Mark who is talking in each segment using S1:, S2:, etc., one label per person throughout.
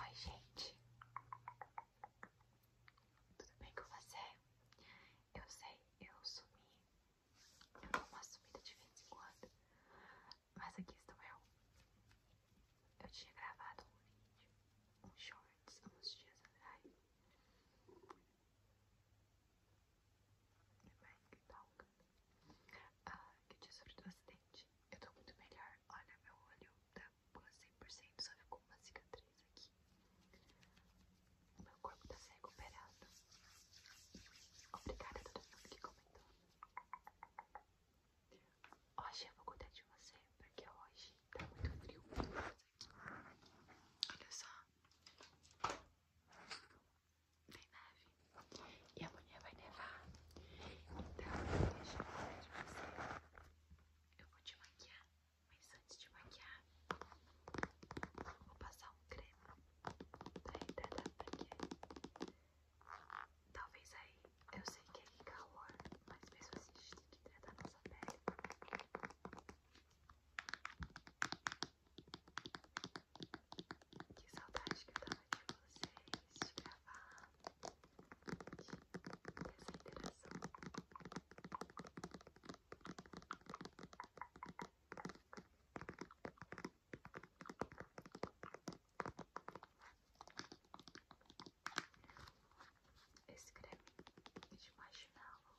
S1: Oi, gente. Tudo bem com você? Eu sei, eu sumi. Eu dou uma subida de vez em quando. Mas aqui estou eu. Eu tinha gravado um vídeo, um shorts, uns dias atrás. My mic talk. Ah, que dia sobre do acidente. Eu tô muito melhor. Olha, meu olho tá quase 100%, só ficou uma cicatriz aqui. O meu corpo tá se recuperando. Obrigada a todo mundo que comentou. Hoje eu vou cuidar de você, porque hoje tá muito frio. Olha só tem neve e amanhã vai nevar. Então, deixa eu falar de você. Eu vou te maquiar, mas antes de maquiar, vou passar um creme pra hidratar a pele. Talvez aí, eu sei que é calor, mas mesmo assim a gente tem que hidratar nossa pele. Que saudade que eu tava de vocês, gravar, essa interação. Esse creme de marshmallow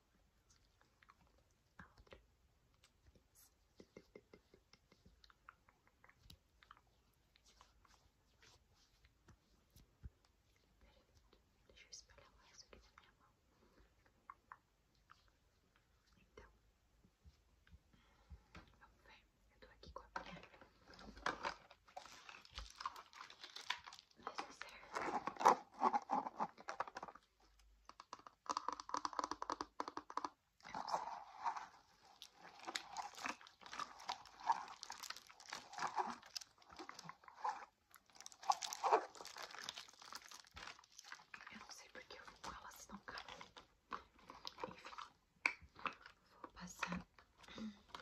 S1: A outra. Deixa eu esperar mais resto aqui na minha mão. Então, vamos ver. Eu tô aqui com a minha. Eu não sei porque eu vou com ela se não Enfim, vou passar a base primeiramente.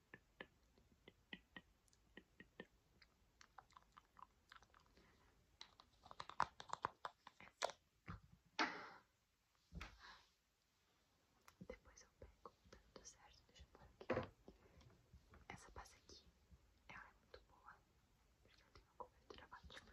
S1: Depois eu pego, tá tudo certo, deixa eu pôr aqui. Essa pasta aqui, ela é muito boa, porque ela tem uma cobertura ótima.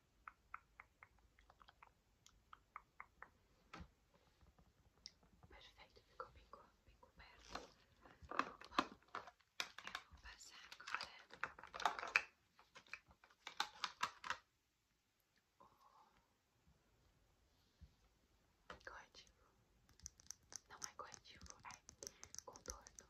S1: Perfeito, ficou bem, bem coberto. Bom, eu vou passar agora corretivo. Não é corretivo, é contorno.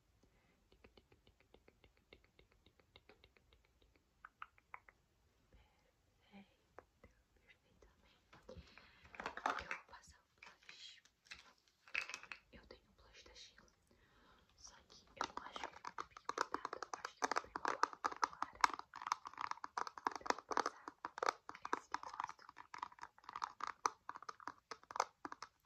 S1: Perfeitamente. Eu vou passar o blush. Eu tenho o blush da Sheila. Só que eu não acho ele muito pigmentado. Eu acho que eu vou pegar uma outra clara. Então, eu vou passar esse que eu gosto. Vamos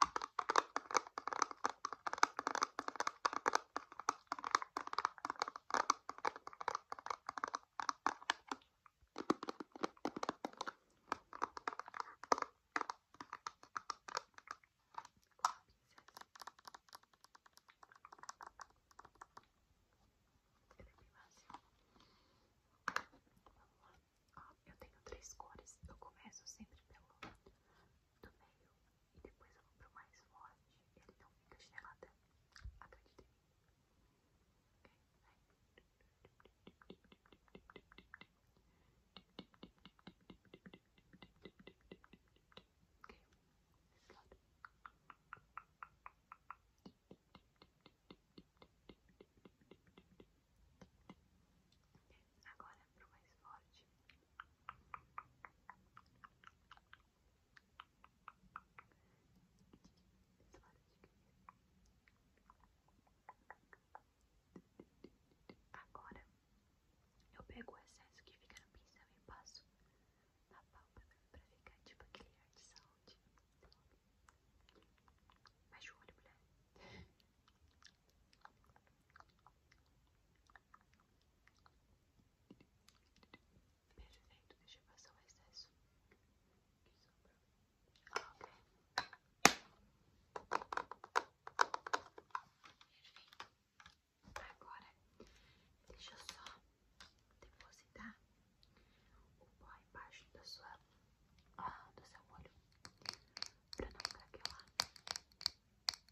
S1: eu tenho três cores. Eu começo sempre pelo do meio e depois eu vou pro mais forte, ele não fica chinelada. acredite em mim. Agora pro mais forte. Agora eu pego o excesso que fica no pincel e passo na pálpebra pra ficar tipo aquele ar de saúde o olho, mulher. Perfeito, deixa eu passar o excesso que ah, sobrou. ok. Perfeito. Agora, deixa eu só depositar o pó embaixo da sua, ah, do seu olho, pra não ficar aqui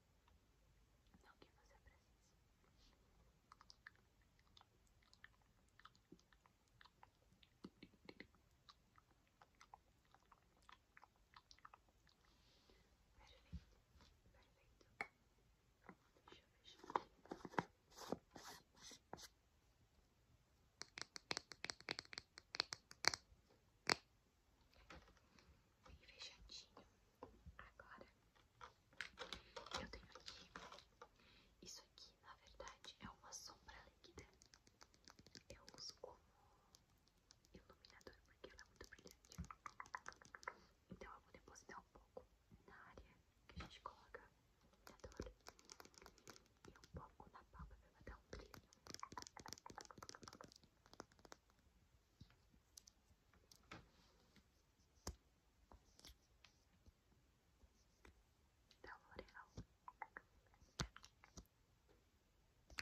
S1: Não que você precisa. Perfeito, perfeito. Deixa eu fechar bem fechadinho. Agora, eu tenho aqui, isso aqui na verdade é uma sombra líquida. Eu uso como iluminador porque ela é muito brilhante. Então eu vou depositar um pouco na área que a gente coloca o iluminador e um pouco na palma para dar um brilho. Da L'Oreal. Feche os olhos. Relaxa.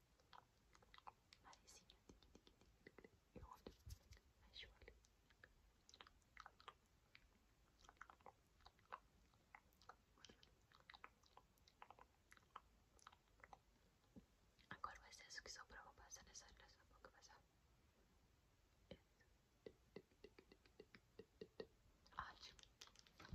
S1: Marizinha, eu olho, fecho o olho. Agora o excesso que sobrou, vou passar nessa, nessa boca, passar. É. Ótimo, perfeito.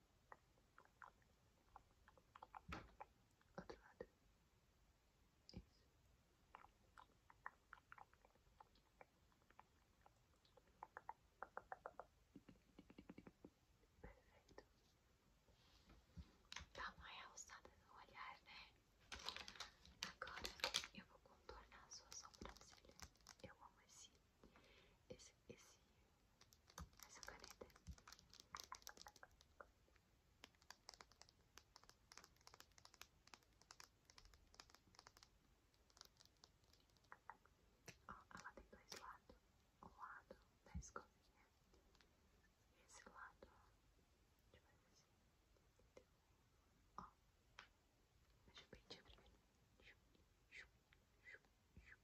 S1: Outro lado. Isso. Perfeito. Dá uma realçada no olhar, né? Agora eu vou contornar a sua sobrancelha. Eu amo esse, esse, esse essa caneta. ela tem dois lados, um lado da escovinha e esse lado, deixa assim, ó, deixa eu pentear primeiro, chup, chup, chup, chup, chup,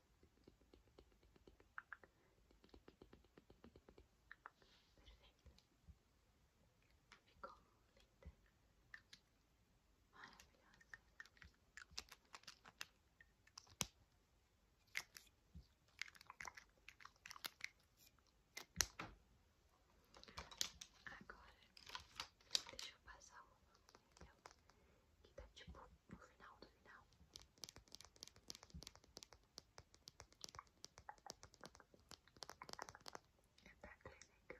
S1: Perfeito. Ficou linda. Maravilhosa. Agora, deixa eu passar uma manteiga que tá tipo no final do final. É da Clínica.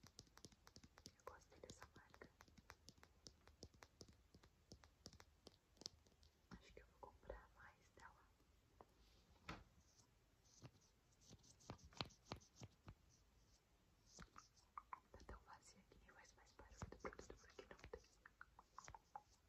S1: Né, eu gostei dessa marca. Acho que eu vou comprar mais dela. Tá tão vazia aqui, nem faz mais barulho do que porque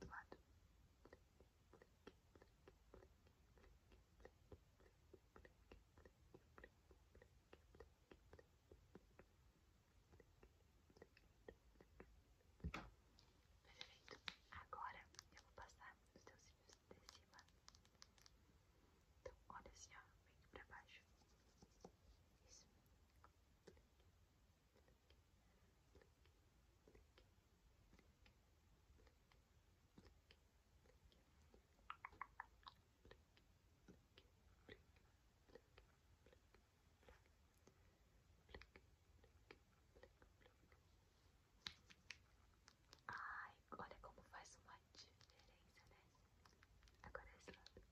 S1: do lado. Perfeito. Agora eu vou passar nos teus cílios de cima. Então, olha assim, ó, vem aqui pra baixo. Isso. Ai, olha como faz uma diferença, né? Agora é esse lado.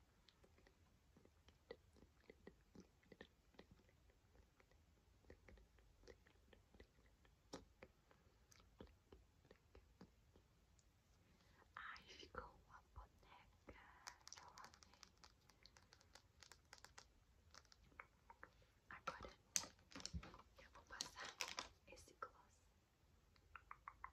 S1: Ai, ficou a boneca. Eu amei. Agora eu vou passar esse gloss.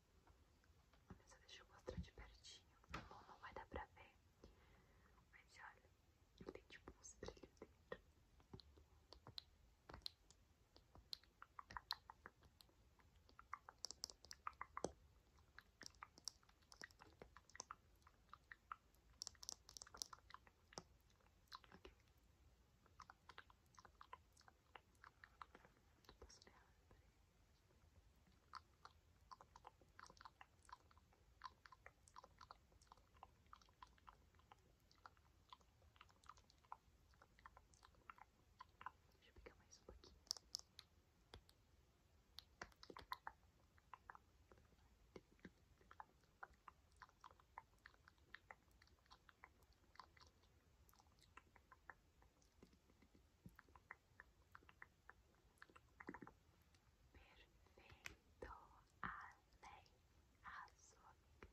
S1: Dessa vez deixa eu mostrar de pertinho. Tá bom, não vai dar pra ver. Mas olha, ele tem tipo um brilhos dentro. Deixa eu pegar mais um pouquinho. Deixa eu Perfeito, além azul. Bom,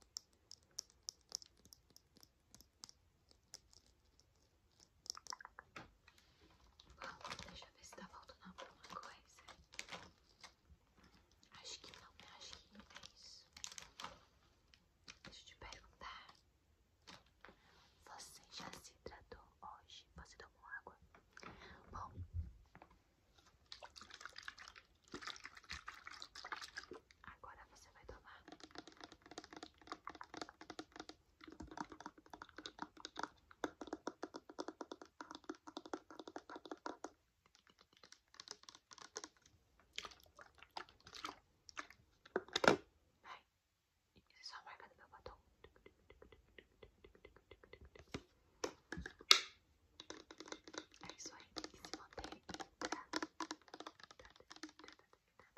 S1: deixa eu ver se tá faltando alguma coisa. Acho que não, né? Acho que não é isso. Deixa eu te perguntar. Você já se tratou hoje? Você tomou água? Bom. Agora você vai tomar Vai. Isso é só a marca do meu batom. É isso aí, tem que se manter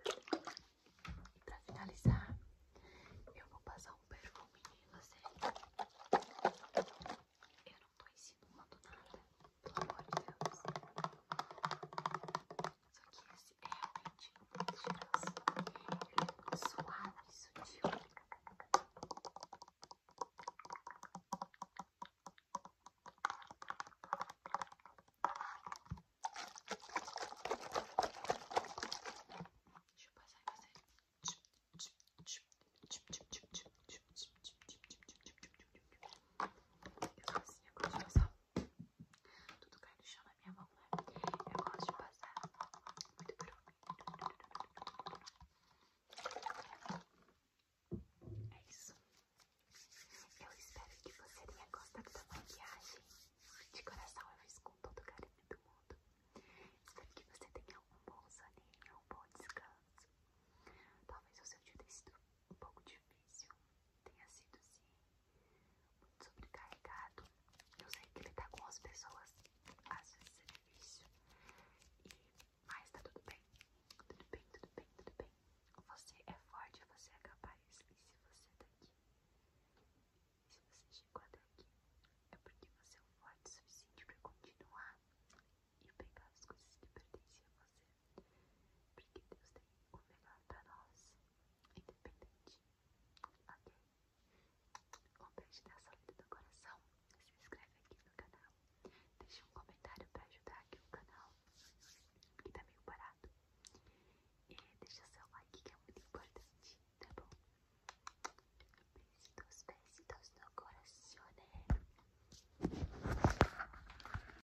S1: e pra finalizar, eu vou passar um perfume em você. Eu não tô ensinando nada, pelo amor de Deus. Só que é realmente muito cheiroso. Ele é muito suave e sutil. Deixa eu passar em você. Eu faço assim, eu gosto de passar tudo cai no chão na minha mão, né? Eu gosto de passar muito perfume. É isso. Eu espero que você tenha gostado da maquiagem. De coração, eu fiz com todo o carinho do mundo. Espero que você tenha um bom soninho, um bom descanso. Talvez o seu dia tenha sido um pouco difícil, tenha sido assim, muito sobrecarregado. Eu sei que ele lidar com as pessoas às vezes é difícil, e, mas tá tudo bem, tudo bem, tudo bem, tudo bem. Você é forte, você é capaz, e se você tá aqui, se você chegou até aqui, é porque você é forte o suficiente pra continuar e pegar as coisas que pertencem a você. Porque Deus tem o melhor pra nós, independente. Ok? Um beijo da saúde do coração. Se inscreve aqui no canal. Deixa um comentário pra ajudar aqui o canal, que tá meio parado. E deixa seu like, que é muito importante, tá bom? Beijos, beijos no coração. né?